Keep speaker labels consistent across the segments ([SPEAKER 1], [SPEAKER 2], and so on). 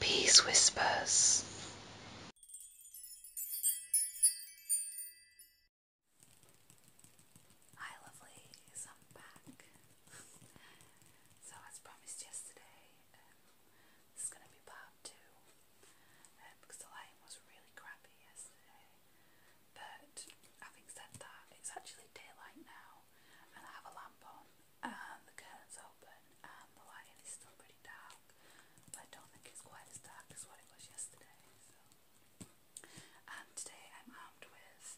[SPEAKER 1] Peace whispers. Hi, lovelies, I'm back. so, as promised yesterday, um, this is going to be part two um, because the lighting was really crappy yesterday. But having said that, it's actually daylight now, and I have a lamp on, and the curtain's open, and the lighting is still pretty dark. But I don't think it's quite as dark as what it was yesterday. So, today I'm armed with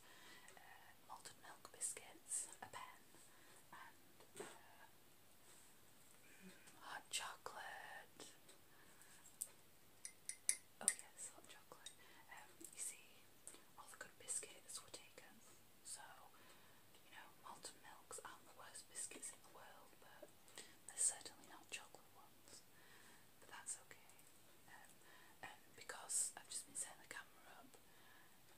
[SPEAKER 1] uh, malted milk biscuits, a pen, and uh, mm, hot chocolate. Oh yes, hot chocolate. Um, you see, all the good biscuits were taken, so you know malted milks aren't the worst biscuits in the world, but they're certainly not chocolate ones. But that's okay. Um, because I've just been setting the camera up,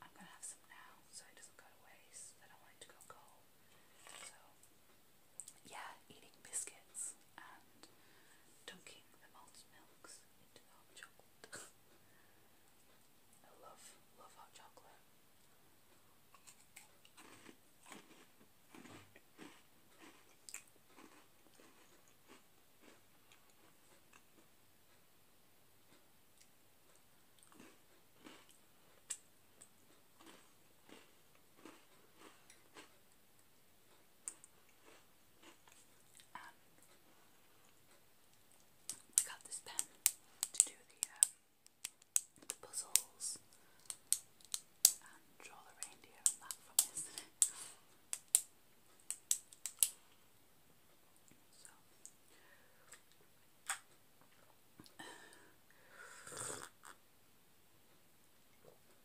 [SPEAKER 1] I'm gonna have some now so it doesn't go to waste. I don't want it to go cold. So yeah, eating biscuits and dunking the malted milks I love, love hot chocolate. Um, I got this pen to do um, the, puzzles and draw the reindeer and that from yesterday.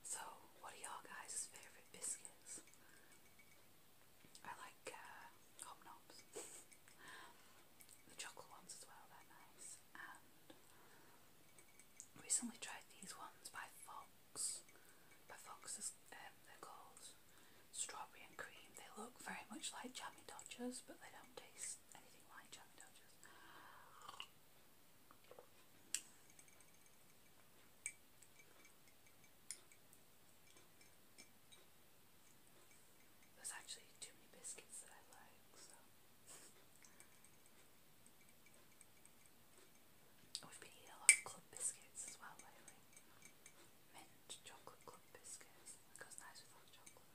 [SPEAKER 1] So, what are y'all guys' favorite biscuits? I like uh, hobnobs. the chocolate ones as well, they're nice. And recently tried these ones by Fox. By Fox's, um, they're called strawberry and cream. They look very much like Jammy Dodgers, but they don't taste anything like Jammy Dodgers. There's actually too many biscuits that I like, so. We've been eating a lot of club biscuits as well Mint chocolate club biscuits. goes nice with hot chocolate.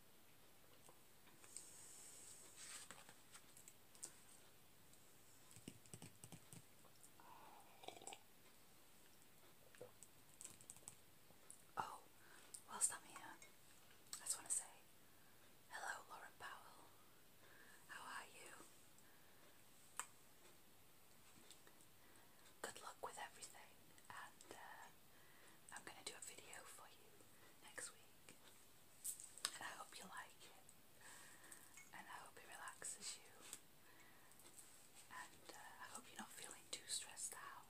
[SPEAKER 1] Oh, whilst I'm here, I just want to say hello, Lauren Powell. How are you? Good luck with everything, and uh, I'm going to do a video for you next week. And I hope you like it. And I hope it relaxes you. And uh, I hope you're not feeling too stressed out.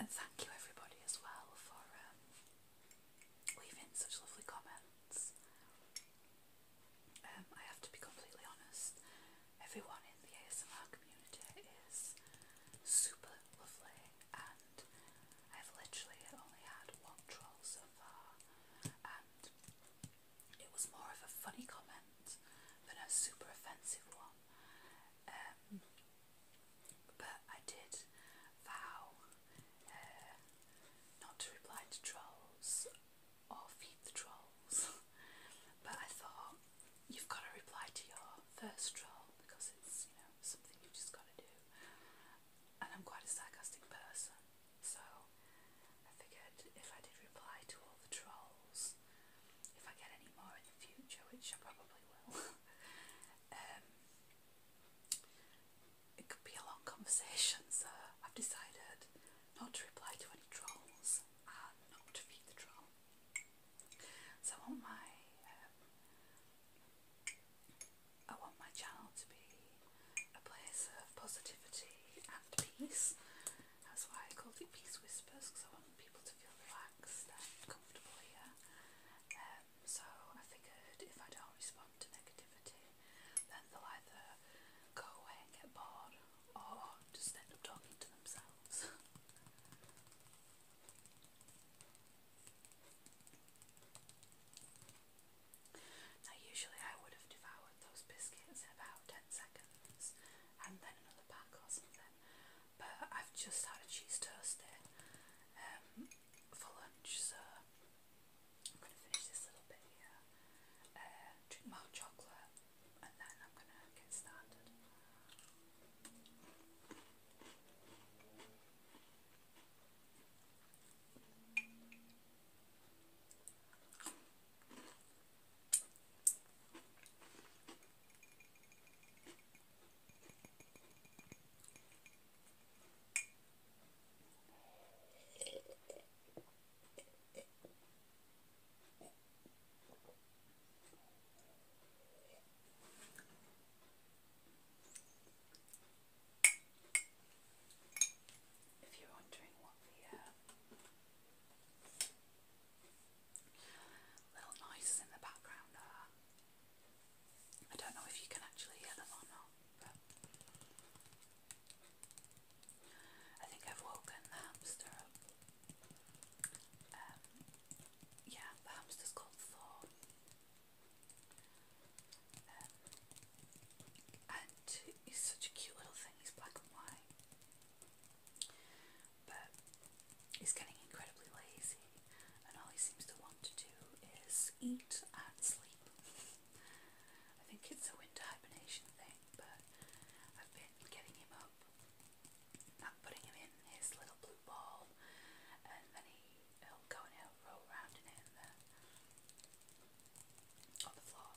[SPEAKER 1] And thank you everybody as well for leaving um, such lovely comments. Um, I have to be completely honest, everyone in the ASMR community is super lovely and I've literally only had one troll so far and it was more of a funny comment than a super offensive one. Um, but I did vow uh, not to reply to trolls or feed the trolls. but I thought you've got to reply to your first troll because it's you know something you've just got to do. And I'm quite a sarcastic person, so I figured if I did reply to all the trolls, if I get any more in the future, which I probably will, Um, it could be a long conversation, so I've decided not to reply to any trolls not to feed the troll. So I want my um, I want my channel to be a place of positivity and peace. That's why I called it Peace Whispers because I want people to feel relaxed and comfortable here. Um, so I figured if I don't respond to negativity, then they'll either go away and get bored or just end up talking to themselves. now, usually I would have devoured those biscuits in about 10 seconds and then another pack or something, but I've just had a cheese toast there um, for lunch, so I'm going to finish this little bit here, uh, drink more chocolate, and then I'm going to get started. If you're wondering what the uh, little noises in the background are, I don't know if you can actually hear them or not, but I think I've woken the hamster Um, yeah, the hamster's called Thor. Um, and he's such a cute little thing, he's black and white. But He's getting incredibly lazy, and all he seems to want to do is eat and sleep. I think it's a winter hibernation thing, but I've been getting him up and putting him in his little blue ball, and he, he'll roll around in it on the floor.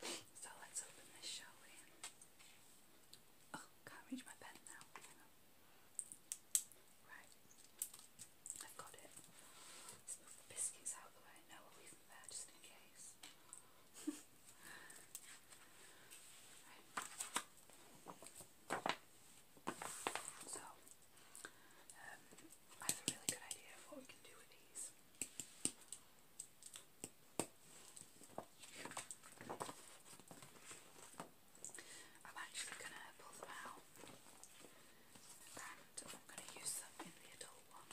[SPEAKER 1] So let's open this, shall we? Oh, can't reach my pen now. Right, I've got it. Let's move the biscuits out of the way. No, leave them there just in case. Right. So, um, I have a really good idea of what we can do with these. I'm actually going to pull them out and I'm going to use them in the adult one.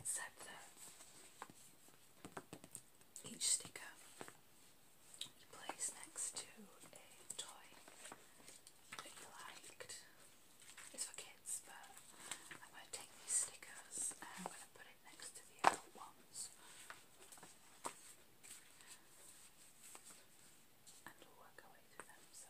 [SPEAKER 1] except that each sticker you place next to a toy that you liked. It's for kids, but I'm going to take these stickers and I'm going to put it next to the adult ones. And we'll work our way through them. So,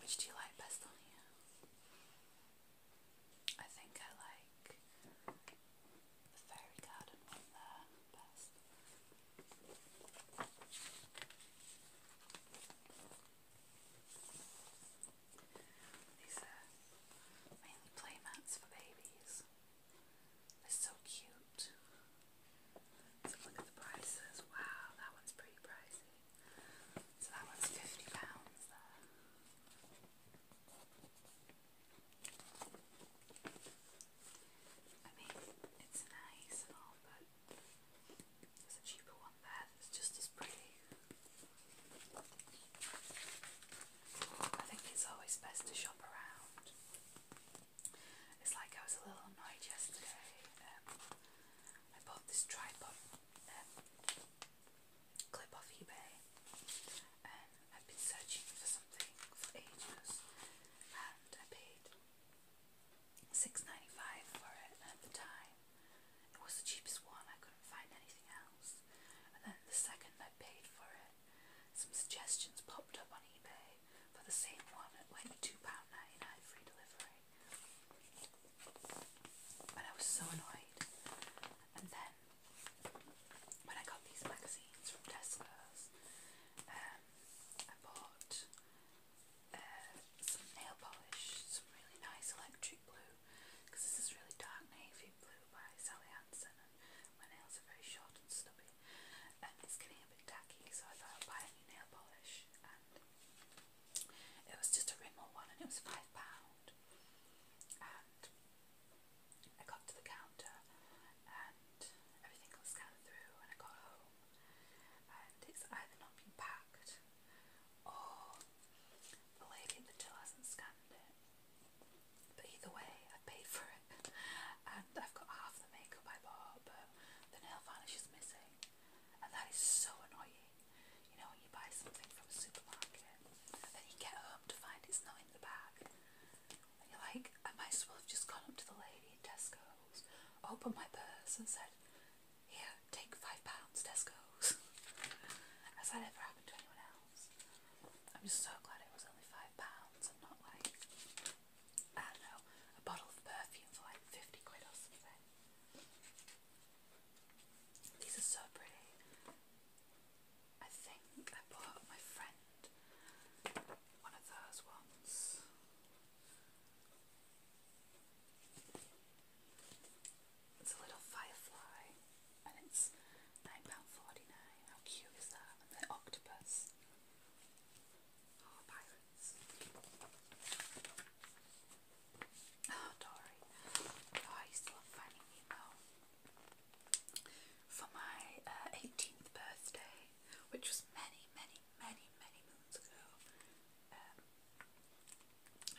[SPEAKER 1] which do you like best on here? I think I like the fairy garden one there best. These are mainly playmats for babies. They're so cute. So look at the prices. Wow, that one's pretty pricey. So that one's fifty pounds there. I mean, it's nice but there's cheaper one there just as pretty. I think it's always best to shop around. It's like I was a little annoyed yesterday. Um, I bought this tripod um, clip off eBay I've been searching for something for ages and I paid six ninety five dollars for it at the time. It was the cheapest one, I couldn't find anything else. And then the second I paid for it, some suggestions popped up on eBay for the same one. at went pounds 99 free delivery. And I was so annoyed. And then then when I got these magazines from Tesco's, um, I bought uh, some nail polish, some really nice electric blue, because this is really dark navy blue by Sally Hansen, my nails are very short and stubby, and it's getting a bit tacky, so I thought I'd buy a new nail polish, and it was just a Rimmel one, and it was £5, I got to the counter and everything got scanned through when I got home and it's either not been packed or the lady at the till hasn't scanned it. But either way, I paid for it and I've got half the makeup I bought but the nail varnish is missing and that is so annoying. You know, when you buy something from a supermarket and you get home to find it's not in the bag. And you're like, I might as well have just gone up to the lady at Tesco's, opened my purse and said, here, take five pounds Tesco's. Has that ever happened to anyone else? I'm just so glad it was only five pounds and not like, I don't know, a bottle of perfume for like 50 quid or something. These are so pretty. I think I bought my friend one of those ones. It's a little firefly and it's £9.49. How cute is that? And the octopus. Oh, pirates. Oh, Dory. I used love Finding Nemo for my 18th uh, birthday, which was many, many, many, many moons ago, um,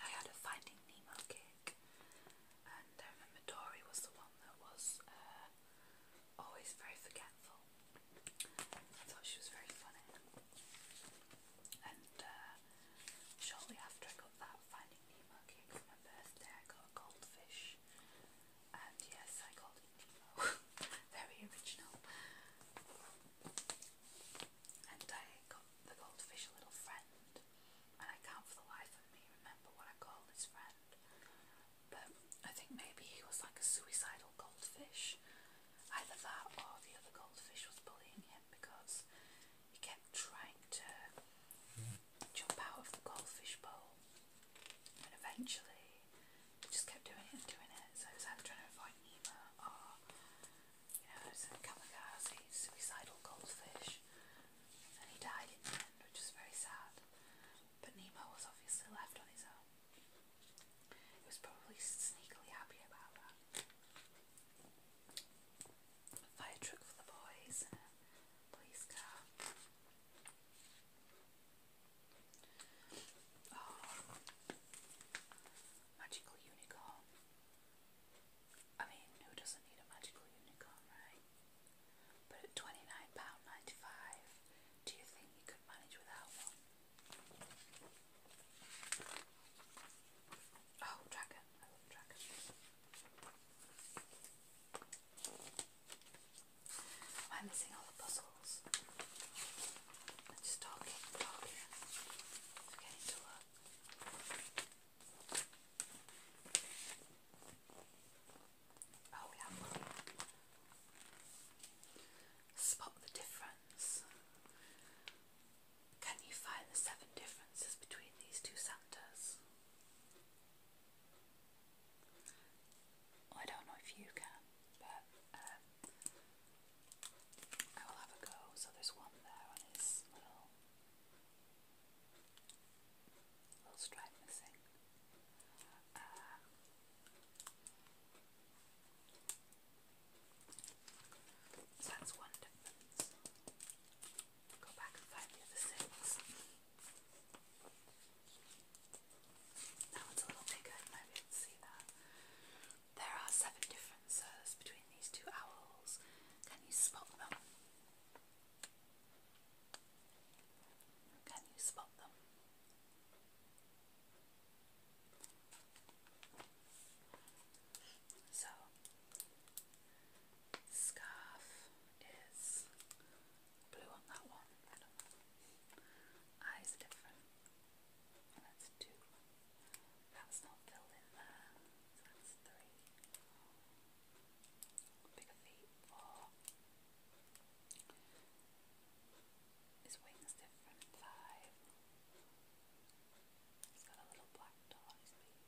[SPEAKER 1] I had a Finding Nemo cake, and I remember Dory was the one that was uh, always very forgetful. I thought she was very funny, and uh, shortly after I got that Finding Nemo cake for my birthday, I got a goldfish and yes, I called it Very original. And I got the goldfish little friend, and I can for the life of me remember what I called his friend. But I think maybe he was like a suicidal goldfish. Either that or the other goldfish was bullying him because he kept trying to jump out of the goldfish bowl. And eventually, just kept doing it and doing it. So I was either trying to Nemo you know, it kamikaze, suicidal goldfish. And he died in the end, which was very sad. But Nemo was obviously left on his own. He was probably sneakily happy about that. Fire truck for the boys police car. Oh, magical unicorn. I mean, who doesn't need a magical unicorn, right? But at £29.95, do you think you could manage without one? Oh, dragon. I love dragon i Am missing all the puzzles? I'm just talking, talking, forgetting to look. Oh, we Spot the difference. Can you find the seven differences between these two Santas? I don't know if you can, but um, I will have a go. So there's one there on his little, little stripe missing. Um, that's one difference. Go back and find the other six. There are seven differences between these two owls. Can you spot them? Can you spot them? So, scarf is blue on that one. Eyes different. That's two. That's not filled in that's three. Bigger feet, four. His wings different, five. He's got a little black dot on his feet,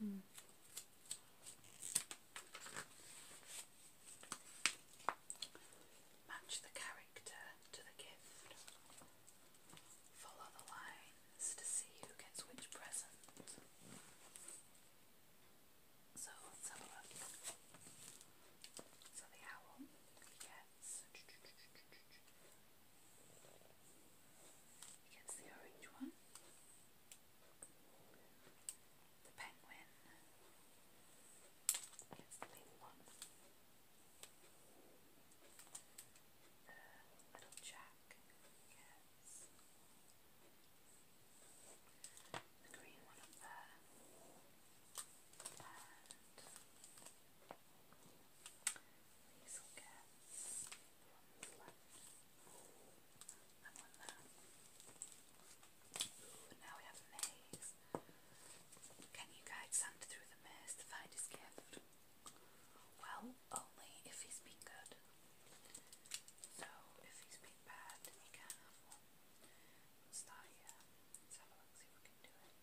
[SPEAKER 1] Hmm. Match the character to the gift. Follow the lines to see who gets which present. So let's have a look. So the owl gets the orange one the penguin gets the big one. The little Jack gets the green one up And Liesl gets the one I now we have a maze. Can you guide Santa through the maze to find his gift? Well, only if he's been good. So, if he's been bad, then can't have one. We'll start Let's have a look, see if we can do it.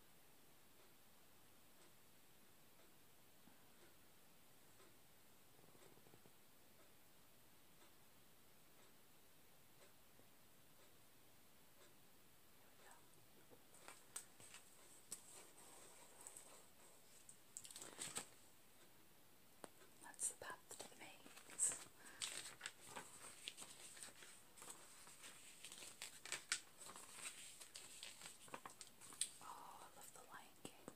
[SPEAKER 1] That's the path that it makes. Oh, I love the Lion King.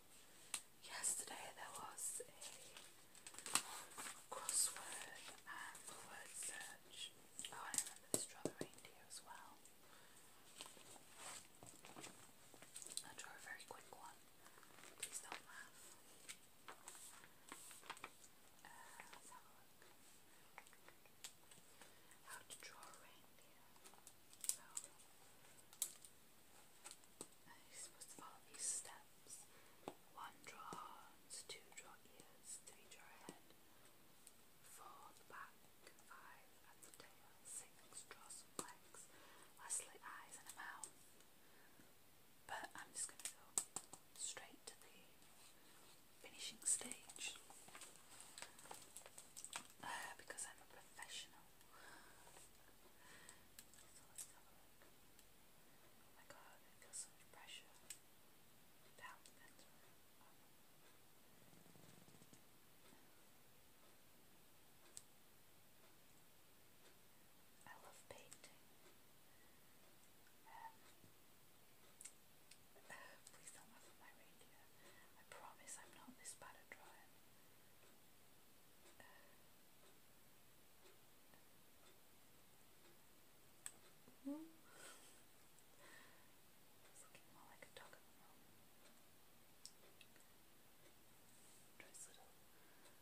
[SPEAKER 1] Yesterday there was a crossword and word search. Oh, I remember this draw the reindeer as well. I draw a very quick one. Please don't laugh. Uh, let's have a look. How to draw a reindeer. Oh you're supposed to follow these steps. One, draw arms. Two, draw ears. Three, draw head. Four, the back. Five, the tail. Six, draw some legs. Lastly, eyes and a mouth. But I'm just going to go straight to the finishing stage uh, because I'm a professional. Oh my god, I feel so much pressure. I love painting. Um, uh, please don't laugh at my radio. I promise I'm not this bad at drawing. Uh, Mm. It's looking more like a dog at little, little ears. Um, little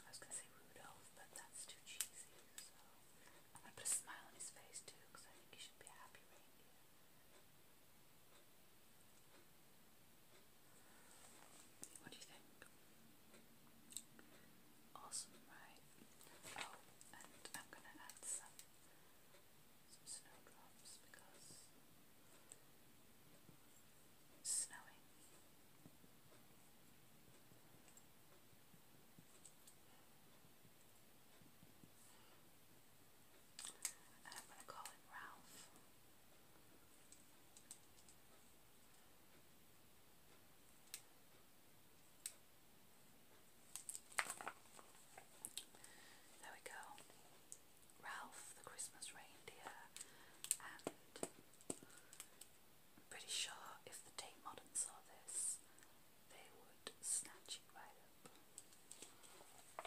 [SPEAKER 1] I was gonna say Rudolph, but that's too cheesy, so I'm gonna put a smile on his face too, because I think he should be happy What do you think? Awesome, right? Oh, and I'm gonna add some snowdrops because snowing. I'm going to call him Ralph. There we go. Ralph the Christmas reindeer and I'm pretty sure if the Tate Modern saw this, they would snatch it right up.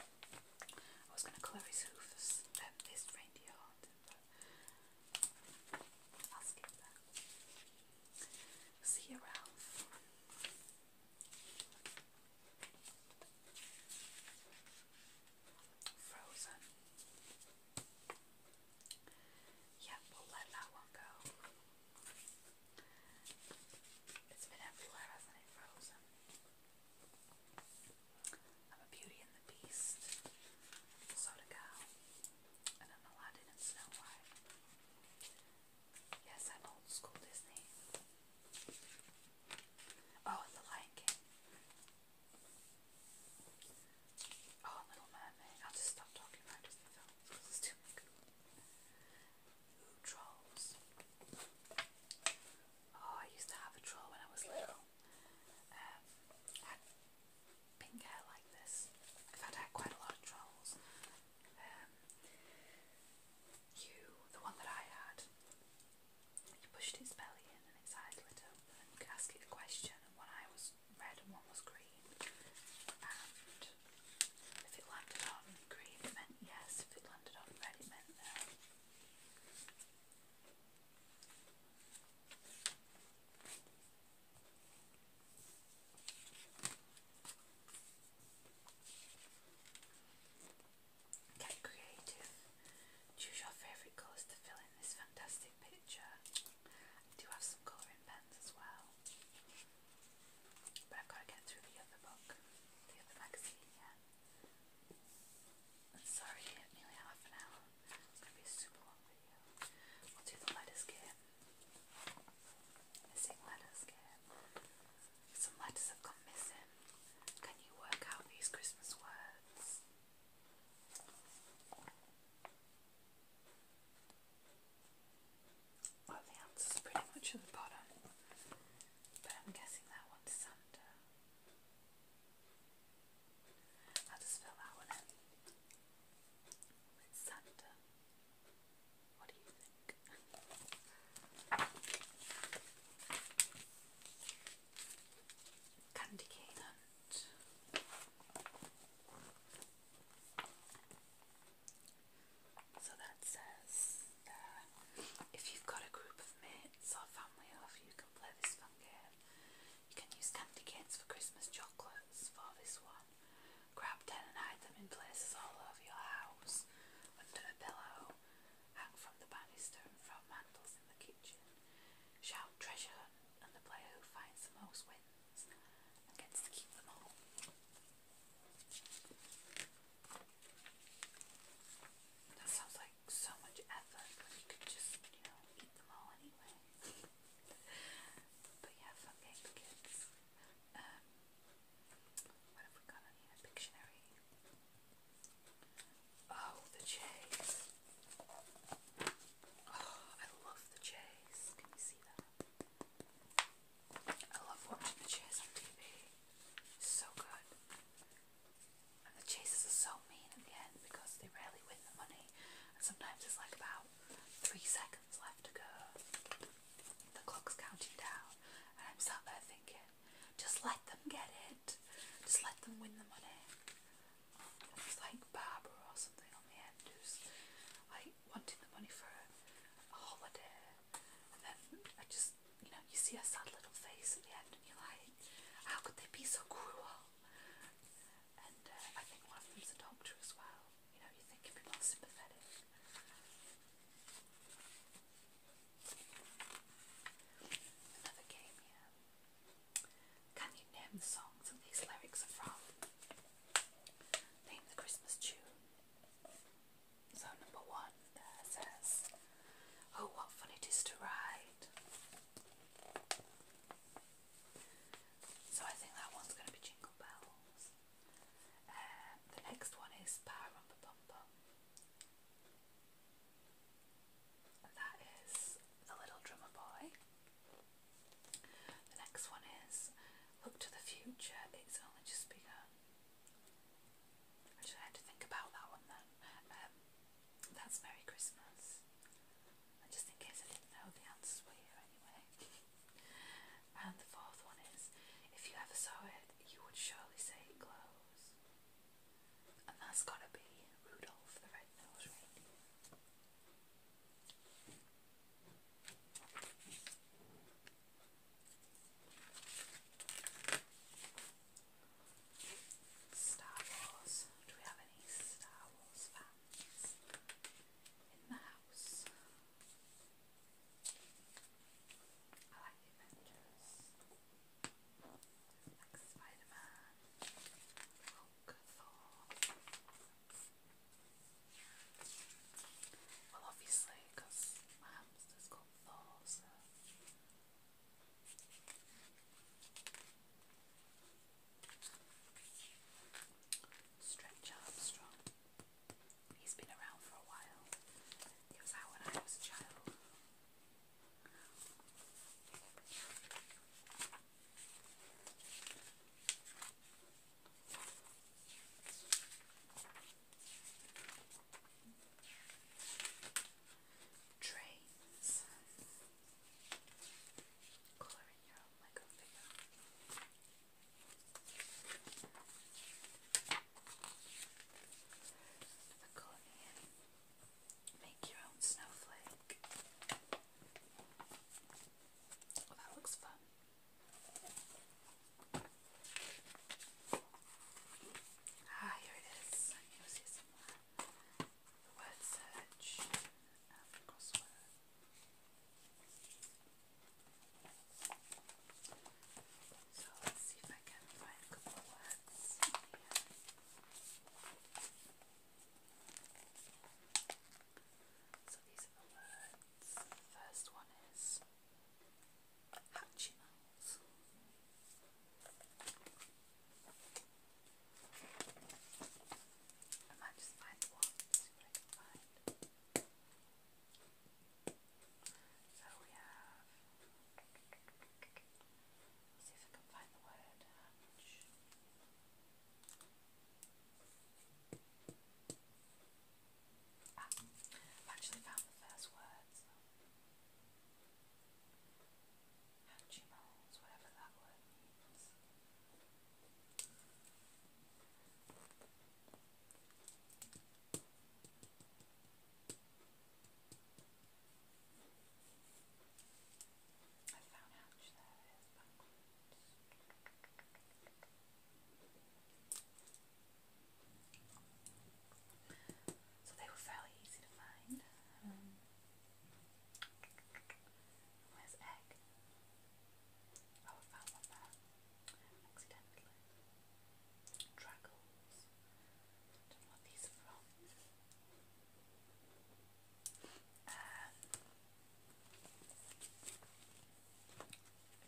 [SPEAKER 1] I was going to colour his hoofs, um, this reindeer haunted, See you, Ralph. Frozen. Yep, we'll let that one go. It's been everywhere, hasn't it? Frozen. I'm a Beauty and the Beast, Soda Gal, and i Aladdin and Snow White. Yes, I'm old school Disney. Oh, The Lion King. Oh, Little Mermaid. I'll just stop talking about just the films because it's too big. trolls. Oh, I used to have a troll when I was little. Um, I had hair like this. In fact, I had quite a lot of trolls. Um, you, the one that I had, you pushed its belly in and its eyes lit up, and you could ask it a question. And when I was red and one was green. And if it landed on green, it meant yes. If it landed on red, it meant no. Get creative. Choose your favourite colours to fill in this fantastic picture. I do have some colouring pens as well, but I've got to get through the other book, the other magazine yet. sorry, nearly half an hour. It's going to be super long video. We'll do the letters game. Missing letters game. Some letters have gone missing. Can you work out these Christmas words? Well, the answer's pretty much at the bottom, but I'm guessing that one's under. I'll just fill that one Santa. What do you think? Candy cane. So that says there, if you've got a group of mates or family over, you can play this fun game. You can use candy canes for Christmas chocolates for this one. Grab ten and hide them in places all over your house, under a pillow, hang from the banister and from mantles in the kitchen. Shout treasure and the player who finds the most wins gets to keep them all. That sounds like so much effort when you could just, you know, eat them all anyway. but yeah, fun kids. Um, what have we got on here? Pictionary. Oh, the chase. I love the chase. Can you see that? I love watching the chase on TV. so good. And the chases are so mean in the end because they rarely win the money. And sometimes it's like about three seconds left to go. The clock's counting down. And I'm sat there thinking, just let them get it. Just let them win the money it like Barbara or something on the end like wanting the money for a, holiday and then I just you know you see a sad little face at the end and you're like how could they be so cruel and uh, I think one of them's a doctor as well you know you think you'd be more sympathetic Another game, yeah. Can you name the songs that these lyrics are from? Name the Christmas tune. So number one says, Oh, what fun it is to ride. So I think that one's going to be Jingle Bells. Um, the next one is Parumba Bum Bum. That is The Little Drummer Boy. The next one is Look to the Future, It's Only Just Begun. Actually, I had to think about that one then. Um, that's Merry Christmas. And just in case I didn't know, the answers were here anyway. and the fourth one is If you ever saw it, you would surely say it glows. And that's gotta be Rudolph the Red-Nosed Reindeer. Star Wars. Do we have any Star Wars fans in the house? I like the Avengers. Like Spider Man look for. Well, obviously, because my hamster's got four, so. Stretch Armstrong. He's been around for a while. He was out when I was a child. Trains. Coloring your own Lego figure. The Colonian. Make your own snowflake. Oh, that looks fun. Ah, here it word search um, So let's see if I can find a couple of words so these are the words. The first one is Hatchimals. I might just find one, see So we have. Let's see if I can find the word hatch. Ah, I've actually found the first words. Hatchimals, whatever that word means. I found So they were fairly easy to find. Um, where's egg? Oh, I found one there. Accidentally. Dragons. do these from. Um,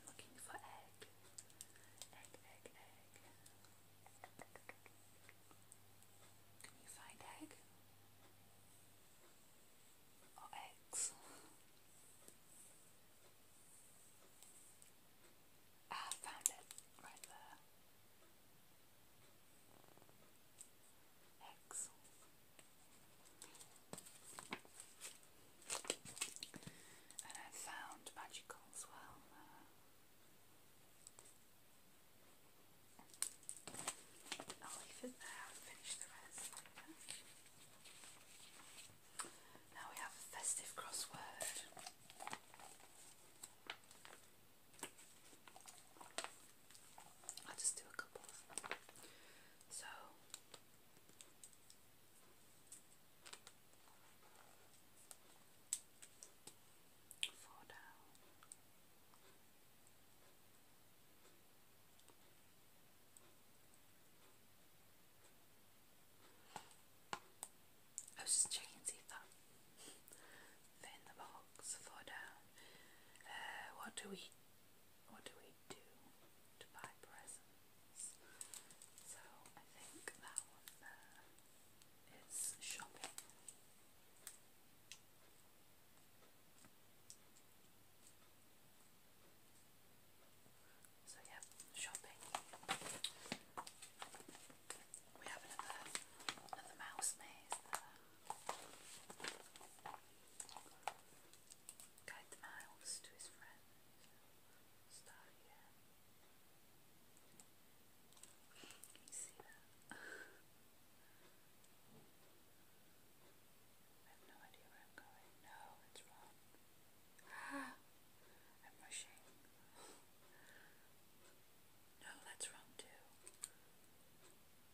[SPEAKER 1] looking for egg. Egg, egg, egg. Can you find egg? Or eggs? Ah, found it right there. And I found magical as well. I'll leave it there and finish the rest Now we have a festive crossword. I'll just do a couple. So four down. I was just checking to see if that in the box. Four down. Uh, what do we what do we do to buy presents? So I think that one there is shopping. So yeah, shopping. We have another another mouse maze Guide the miles to his friend. Star, yeah. I have no idea where I'm going. No, it's wrong. Ah, I'm rushing. No, that's wrong too.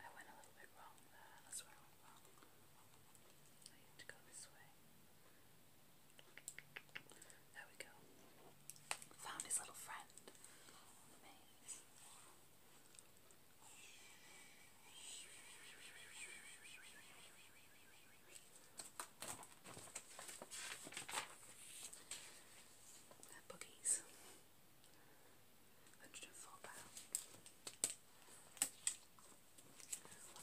[SPEAKER 1] I went a little bit wrong there. Uh, that's where I went wrong. I need to go this way. There we go. Found his little friend. Amazing. they £104.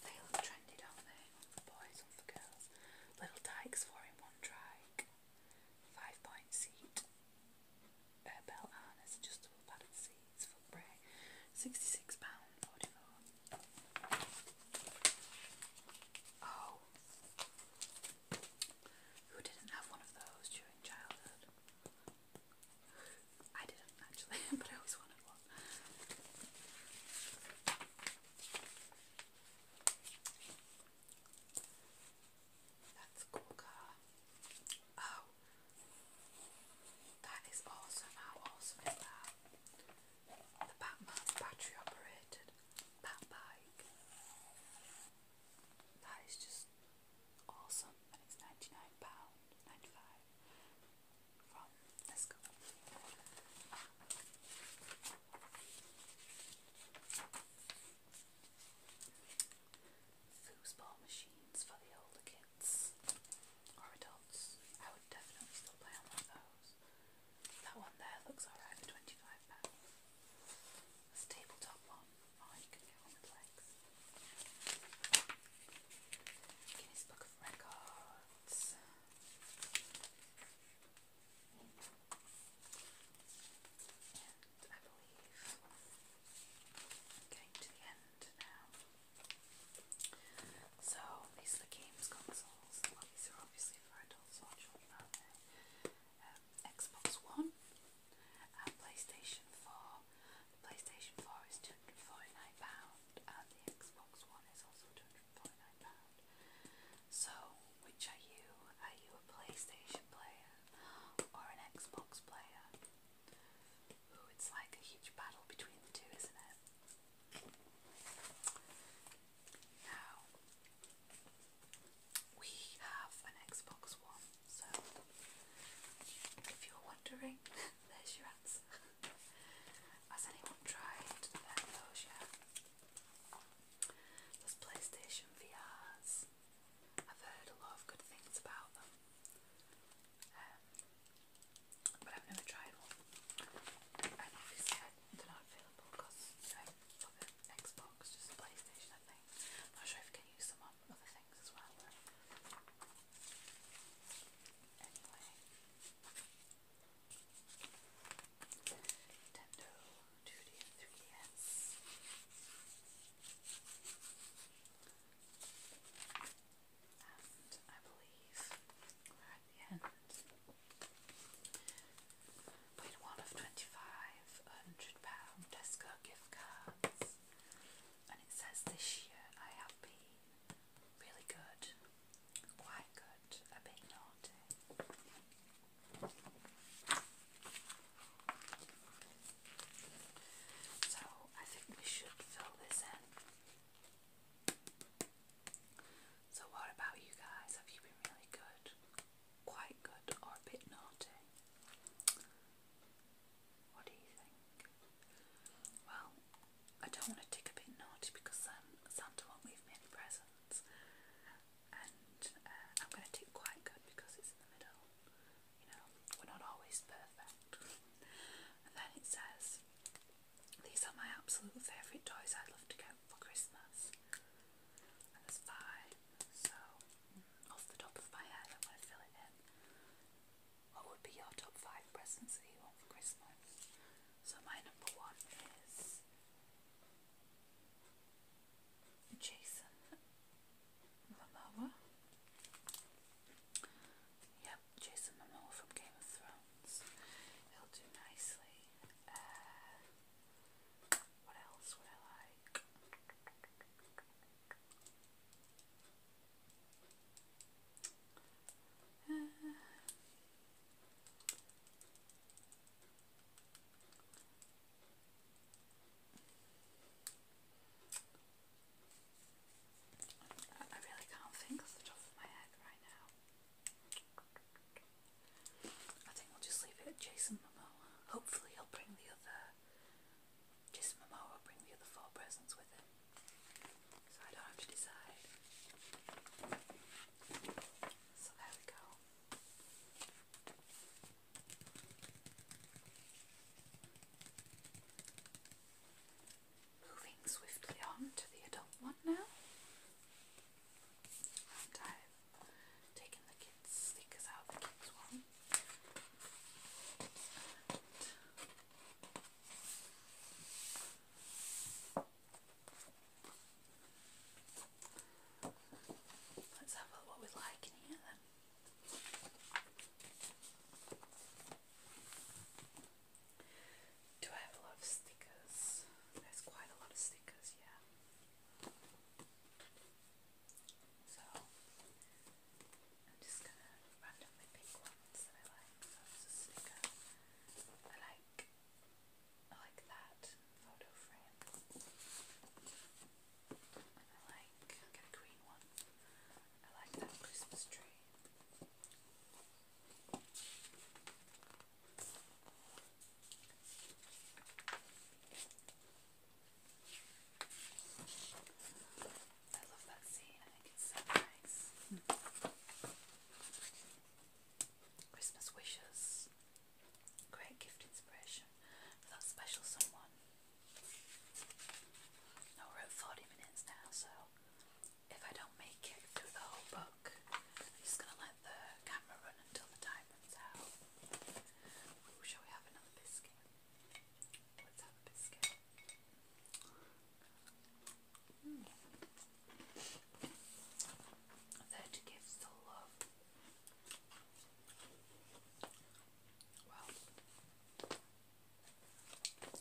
[SPEAKER 1] they look trendy, don't they? for boys, for girls. Little dykes, four in one trike. Five point seat. Uh, belt harness, adjustable padded seats, foot brake. £66.44. Oh. Who didn't have one of those during childhood? I didn't actually, but I always wanted one. That's cool car. Oh, that is awesome. How awesome is that? The Batman battery operated. That bike. That is just awesome it's £99.95 from Tesco. Foosball machines for the older kids or adults. I would definitely still play on those. That one there looks alright for £25. This tabletop one Oh, you Guinness Book of Records. getting to the end now. So these are games consoles. these are obviously um, for adults or children, Xbox One, uh, PlayStation 4. The PlayStation 4 is £249 and the Xbox One is also £249. So, which are you? Are you a PlayStation player or an Xbox player? Ooh, it's like a huge battle between the two, isn't it? Now, we have an Xbox One so, if you're wondering, there's your answer. Has anyone tried those yet? There's PlayStation VRs. I've heard a lot of good things about them. Um, but I've never tried one. And obviously I, they're not available because you Xbox, just PlayStation I not sure if can use them on other things as Nintendo 2D 3DS. And I believe at the end. Win one of 25 pounds Tesco gift cards and it says this year I have been really good, quite good, a bit naughty. So I think we should fill this in. So what about you guys? Have you been really good, quite good, or a bit naughty? What do you think? Well, I don't want to dig a bit naughty because um, Santa won't leave me any presents. And uh, I'm going to take quite good because it's in the middle. You know, we're not always perfect. and then it says, These are my absolute favourite toys I'd love to get for Christmas. And there's five. So, mm, off the top of my head, I'm going to fill what would be your top five presents that you want for Christmas? So my number one is Jason Momoa. Yep, Jason Momoa from Game of Thrones. He'll do nicely. Uh, what else would I like? I really can't think off the top of my head right now. I think we'll just leave it at Jason Momoa. Hopefully he'll bring the other just Momo will bring the other four presents with him. So I don't have to decide. So there we go. Moving swiftly on to the adult one now. And i the kids' stickers out of the kids' one. And let's have a look what we like here Do I have a lot of stickers? There's quite a lot of stickers, yeah. So I'm just gonna randomly pick ones that I like. Oh, I like I like that photo frame. I like a green one. I like that Christmas tree. I love that scene. I think it's so nice. Christmas wishes. Great gift inspiration for that special someone. Now we're at 40 minutes now, so if I don't make it through the whole book, I'm just going to let the camera run until the time runs out. shall we have another biscuit? Let's That gives the love. Wow. Oh,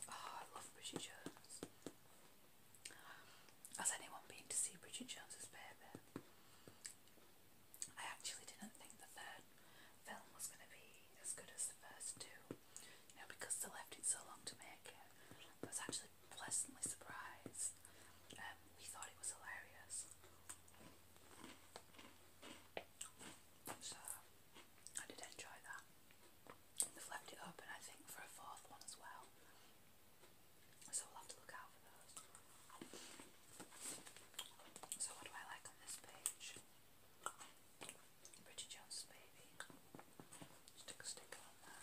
[SPEAKER 1] I love Bridget Jones. Has anyone been to see Bridget Jones's Baby? I actually didn't think the third film was going to be as good as the first two. Now, because they left it so long to make it, was actually pleasantly surprised. Um, we thought it was hilarious. So, I did enjoy that. They've left it open, I think, for a fourth one as well. So, we'll have to look out for those. So, what do I like on this page? Bridget Jones' baby. Just a sticker on that.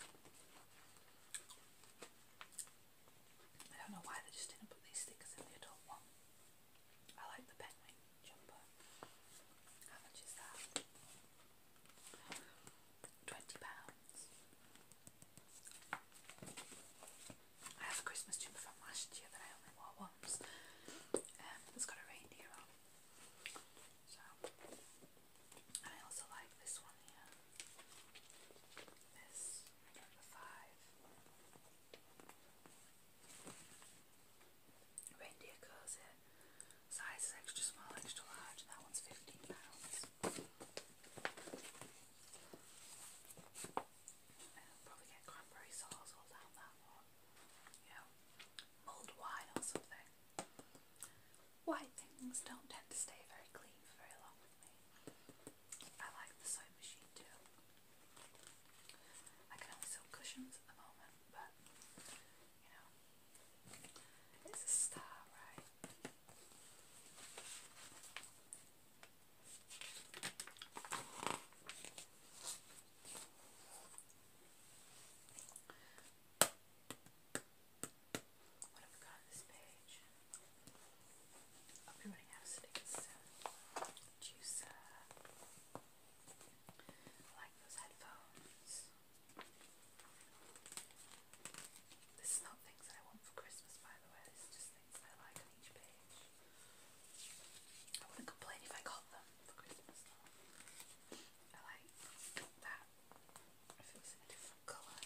[SPEAKER 1] I don't know why they just didn't put these stickers in the adult one. I like the penguin jumper. How much is that? Twenty pounds. I have a Christmas jumper from last year that I only wore once. Um, it's got a reindeer on. I also like this one here. This number five. Reindeer corset. Size extra small, extra large, that one's fifteen pounds. probably get cranberry sauce all down that one. Yeah mulled wine or something. White things don't tend to stay very clean for very long I like the sewing machine too. I can only sew cushions at the moment, but you know, it's a start, right? What have we got on this page? I'll running out of stickers Juicer. I like those headphones. This is not things that I want for Christmas, by the way. This is just things that I like on each page. I wouldn't complain if I got them for Christmas though. I like that. If it was in a different colour.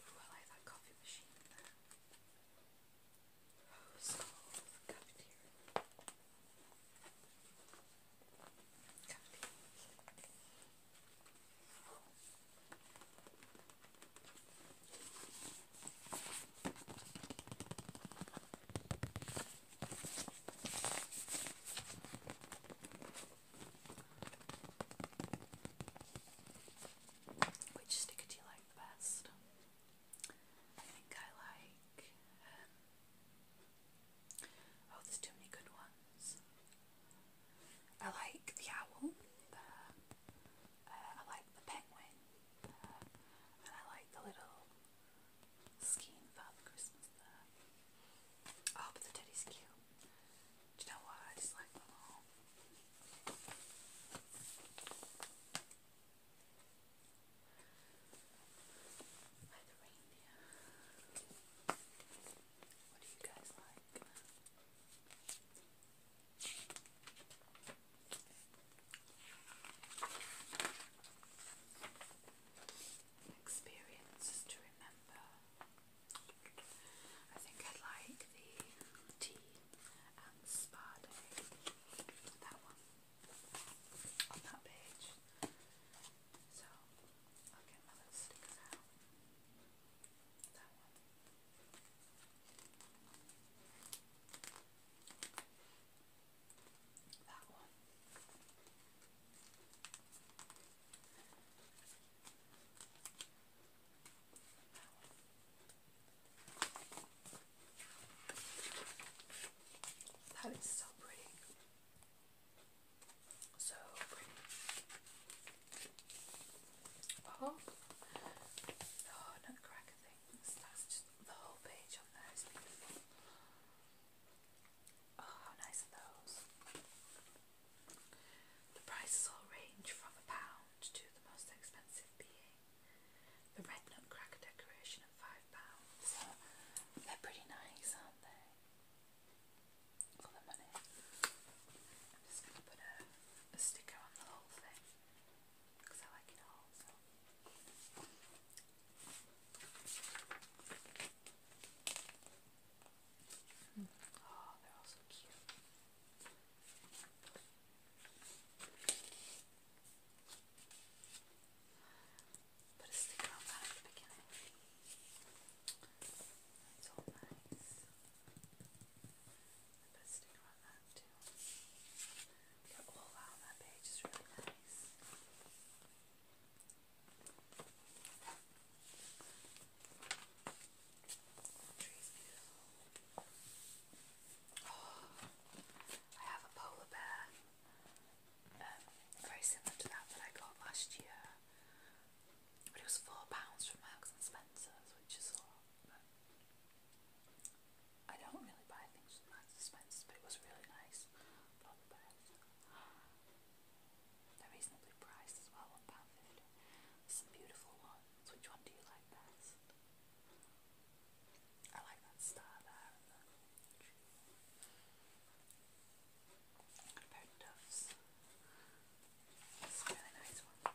[SPEAKER 1] Ooh, I like that coffee machine there. Rose gold cafeteria. Cafeteria. Which sticker do you like the best? I think I like. Um, oh, there's too many good ones. I like the owl, I like the penguin, uh, I like the little scheme Father Christmas Oh, but the teddy's cute. Do you know what? I just like the reindeer. What do you guys like? Experiences to remember. I think I like the tea and spa day. That one that page. So I'll get my little out. That one. That one. That is so pretty. So pretty. Oh, oh the things. That's just the whole page on there is Oh, how nice are those? The prices all range from a pound to the most expensive being. The red nutcracker decoration at five pounds. So they're pretty nice, aren't they? For the money. I'm just going to put a sticker on the whole thing so I Oh, they're all so cute. Put a sticker on that at the beginning. That's nice. And put I have a polar bear. very similar to that that I got last year. But it was four pounds from Marks and Spencer's, which is a lot. I don't really buy things with Marks but it was really nice. Probably best. They're as well, £1.50. Some beautiful ones. Which one do you like best? I like that star there and the a really nice one.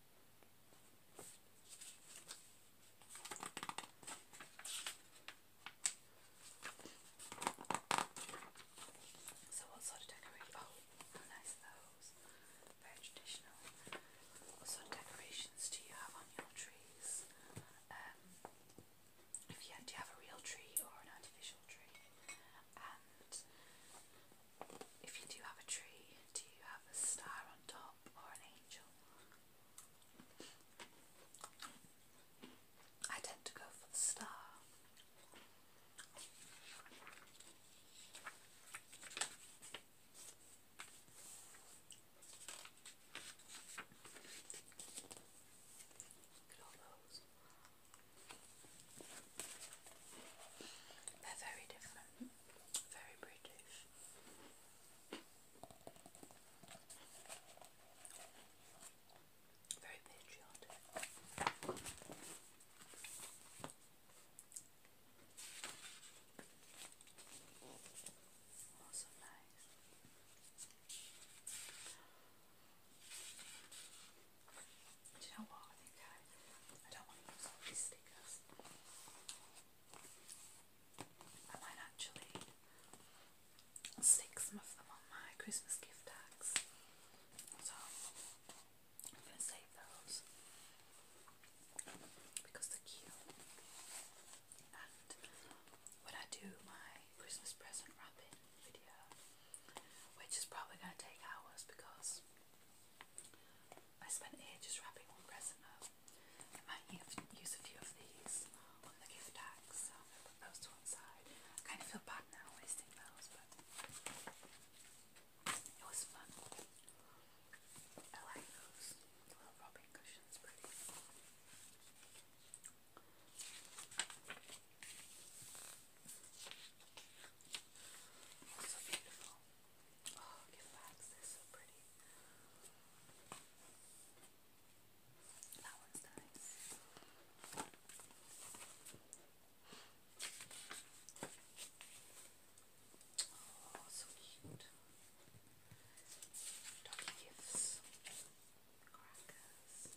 [SPEAKER 1] So what sort of decoration? how oh, nice those. Very traditional. What sort of decorations do you have on your trees? Um, if you do have a real tree or an artificial tree? And if you do have a tree, do you have a star on top or an angel? I tend to go for the star. Look at all those. They're very different, very British. Very patriotic. Also nice. Do you know what? I think I, I don't want to use all these stickers. I might actually stick some of them on my Christmas gift tags. So I'm going to save those because they're cute. And when I do my Christmas present wrapping video, which is probably going to take hours because I spent ages wrapping one present I might use a few of these on the gift tags, so I'm going to put those to one side. I kind of feel bad now wasting those, but it was fun. I like those little rubbing cushions, pretty. So beautiful. Oh, look at the bags, they're so pretty. That one's nice. Oh, so cute. Doggy gifts, crackers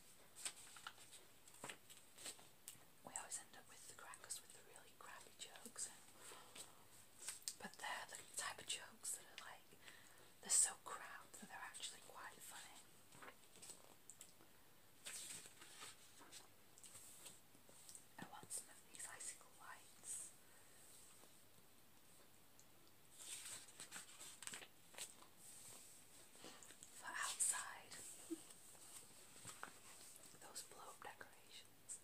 [SPEAKER 1] we always end up with the crackers with the really crappy jokes. And, but they're the type of jokes that are like, they're so crabbed that they're actually quite funny. I want some of these icicle lights. For outside, those blow decorations locations.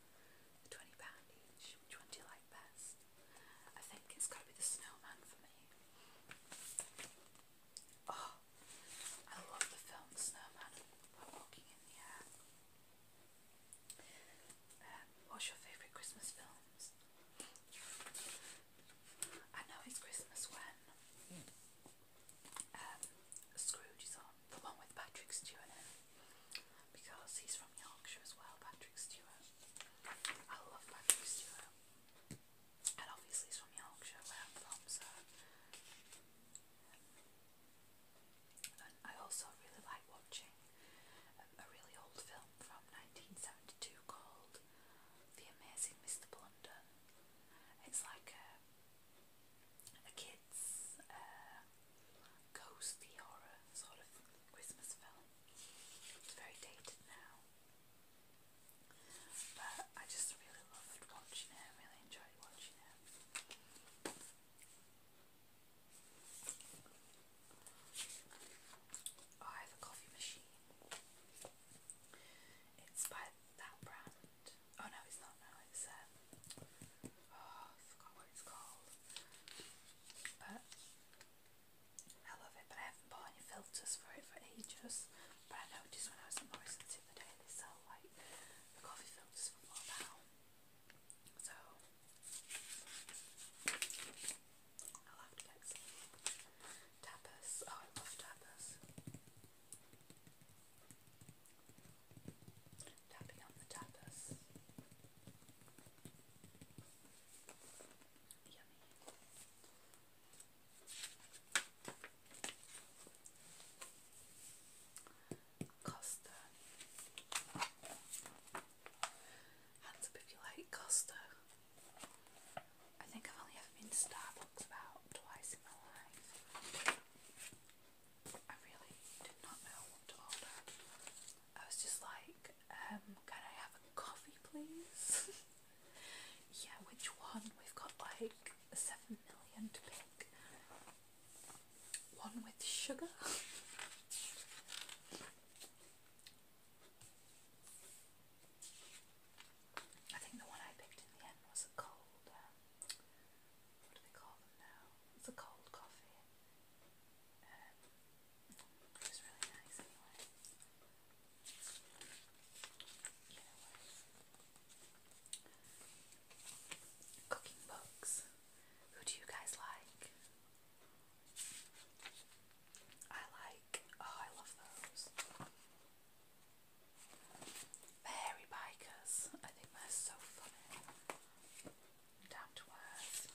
[SPEAKER 1] £20 each. Which one do you like best? I think it's got to be the snowman for me. Oh, I love the film Snowman Walking in the Air. Um, what's your favourite Christmas films? I know it's Christmas when hmm um, Scrooge is on, the one with Patrick Stewart in because he's from Yorkshire as well, Patrick Stewart. I love Patrick Stewart. And obviously he's from Yorkshire where I'm from, so um, and I also really like watching um, a really old film from 1972 called The Amazing Mr. Blunder. It's like a a kids' uh, ghosty horror sort of Christmas film. It's very dated now, but I just really loved watching it. really enjoyed watching it. Oh, I have a coffee machine. It's by that brand, oh no it's not now. it's um oh forgot what it's called but I love it but I haven't bought any filters for it for ages but I noticed when I was in Morrison's the other they sell like the coffee filters for one pound so I'll have to get some tapas oh I love tapas Costa. Hands up if you like Costa. I think I've only ever been to Starbucks about twice in my life. I really did not know what to order. I was just like, um, can I have a coffee please? yeah, which one? We've got like seven million to pick. One with sugar? I think the one I picked in the end was a cold um, what do they call them now? It's a cold coffee. Um, it was really nice anyway. Cooking books. Who do you guys like? I like, oh, I love those fairy bikers. I think they're so funny. Down to earth.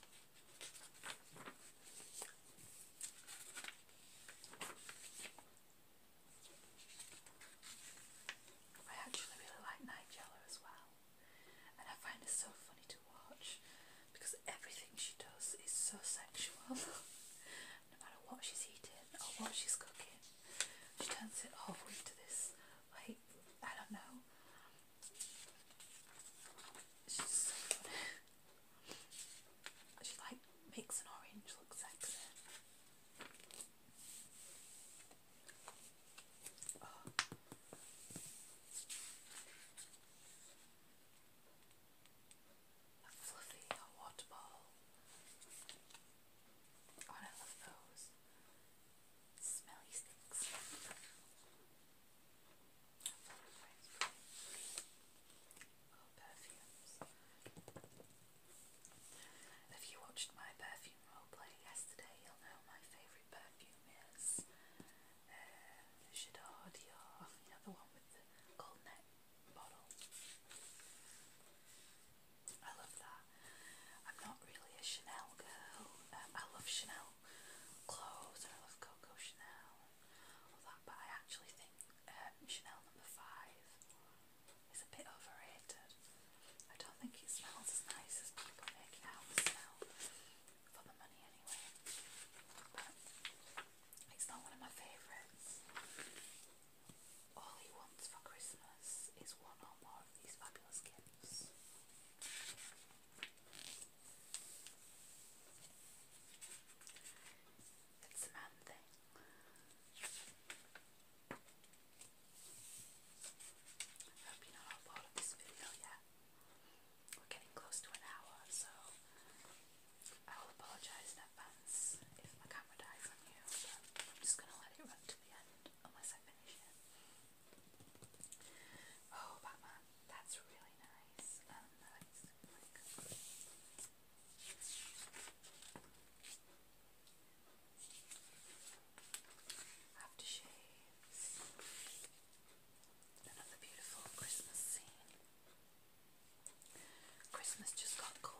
[SPEAKER 1] I actually really like Nigella as well, and I find her so funny to watch because everything she does is so sexual. no matter what she's eating or what she's cooking, she turns it all into this like I don't know. She's like makes an orange look sexy. Oh, I love those smelly sticks. If oh, you watched my perfume roleplay yesterday, you'll know my favourite perfume is uh, the other one with the gold neck bottle. I love that. I'm not really a Chanel girl. Um, I love Chanel clothes and I love Coco Chanel all that, but I actually think um, Chanel number five is a bit overrated. I don't think it smells as nice as people make it out to smell for the money anyway. But it's not one of my favourites. All he wants for Christmas is one or more of these fabulous gifts. It's a man thing. I hope you're not bored of this video yet. We're getting close to an hour, so I will apologise in advance if my camera dies on you, but I'm just going to let it run to the end unless I finish it. Oh, Batman, that's really nice. Um, I like this Another beautiful Christmas scene. Christmas just got cool.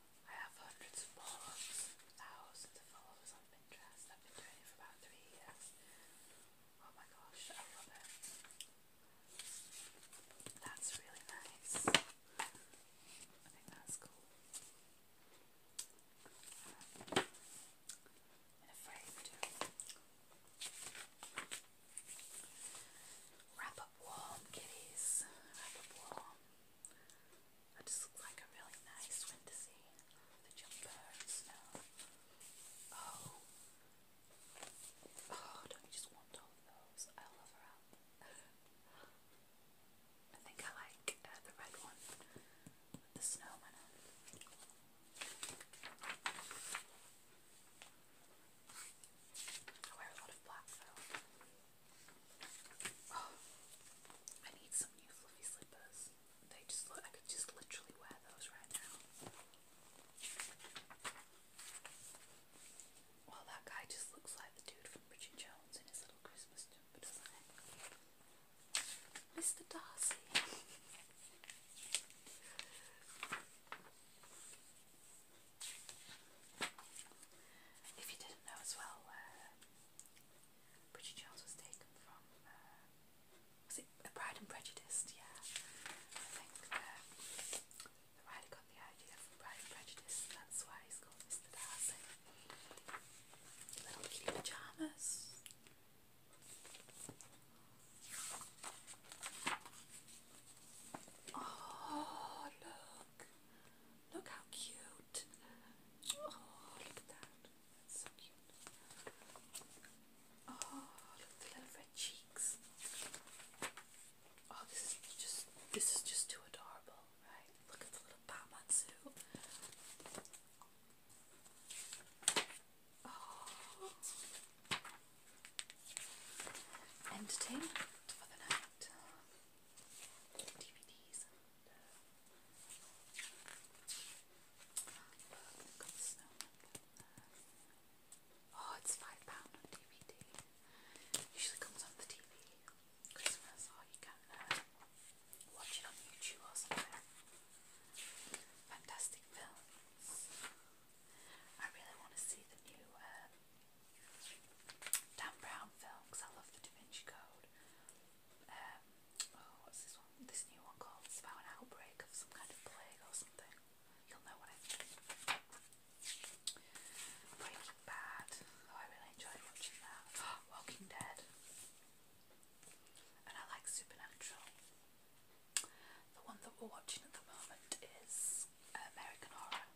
[SPEAKER 1] I have hundreds of blogs, thousands of followers on Pinterest. I've been doing it for about three years. Oh my gosh, I love it. That's really nice. I think that's cool. Wrap up warm, kitties. Wrap up warm. That just looks like a really nice fantasy. The jumper and snow. Oh. Oh, don't you just want all those? I love her I think I like uh, the red one the snowman I wear a lot of black though. I need some new fluffy slippers. They just look, I could just literally wear those right now. Well, that guy just looks like the dude from Bridget Jones in his little Christmas jumper, doesn't it? Mr. Darcy. if you didn't know as well, uh, Bridget Jones was taken from, uh, was it a Pride and Prejudice? Yeah, I think uh, the writer got the idea from Pride and Prejudice, that's why he's called Mr. Darcy. Little kitty pyjamas. Oh, look! Look how cute! Oh, look at that. so cute. Oh, look at the little red cheeks. Oh, this is just this is just too adorable, right? Look at the little Batmansu. Oh. Entertainment for the night. DVDs. Look, Oh, it's £5 Usually comes on the TV Christmas, or oh, you can uh, watch on YouTube or somewhere. Fantastic films. I really want to see the new uh, Dan Brown film because I love The Da Vinci Code um, oh, what's this one? This new one called? about an outbreak of some kind of plague or something. You'll know what I Breaking Bad. Oh, I really enjoy watching that. Walking Dead. And I like Supernatural. The one that we're watching at the moment is American Horror.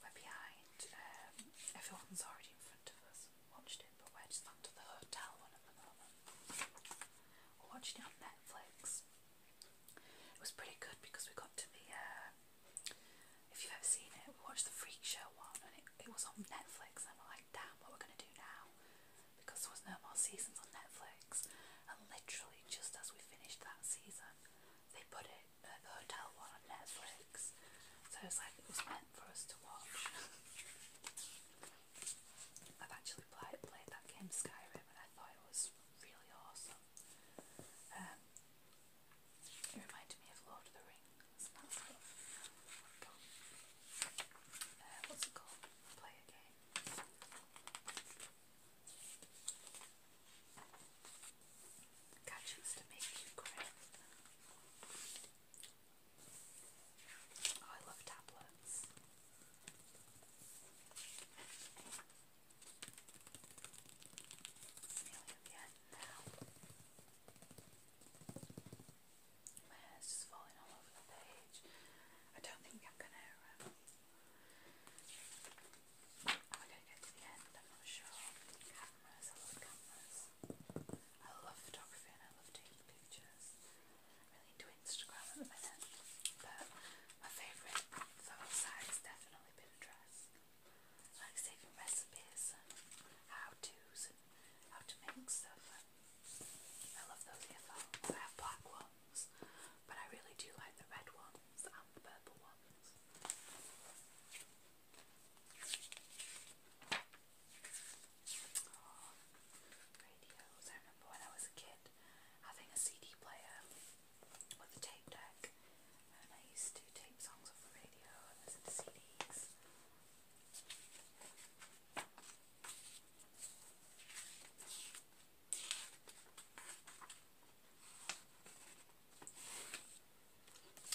[SPEAKER 1] We're behind. Um, everyone's already in front of us. Watched it we're just up the hotel one at the moment. We're watching it on Netflix. It was pretty good because we got to the, uh, if you've ever seen it, we watched the Freak Show one and it, it was on Netflix and we're like, damn, what we're we gonna do now? Because there was no more seasons on Netflix. And literally just as we finished that season, they put it, uh, the hotel one on Netflix. So it was like, it was my for us to watch. I've actually played, played that game Skyrim and I thought it was really awesome. Um, it reminded me of Lord of the Rings uh, what's it called? Play a game. Oh, I love tablets. It's nearly at just falling all over the page. I don't think I'm gonna. Um, am I gonna get to the end? I'm not sure. I love photography and I love taking pictures. I'm really into Instagram at the minute, but my favourite photo site has definitely been dress. like saving recipes and how-tos and how to make stuff. I love those earphones. I have black ones, but I really do like the red ones and the purple ones. Oh, radios. I remember when I was a kid having a CD player with a tape deck and I used to tape songs off the radio and listen to CDs.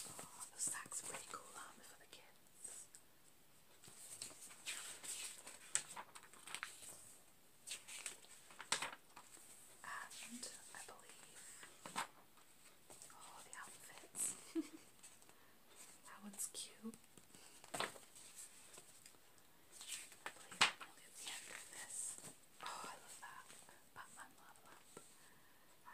[SPEAKER 1] Oh, the sack's a pretty cool armor um, for the kid. And I believe all the outfits. that one's cute. I believe I'm nearly the end of this. Oh, I love that. Batman level up. I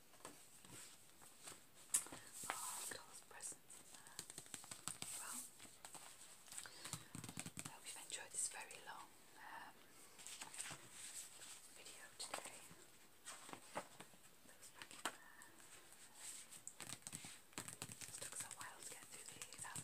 [SPEAKER 1] Oh, I hope you enjoyed this very long um, video today. It took so while to get through these, um,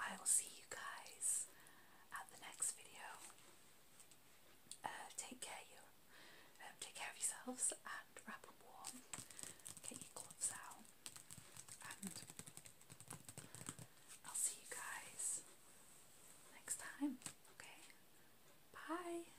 [SPEAKER 1] I will see you guys at the next video. Uh, take care you um, take care of yourselves and wrap up warm. Get your gloves out I'll see you guys next time. Okay. Bye.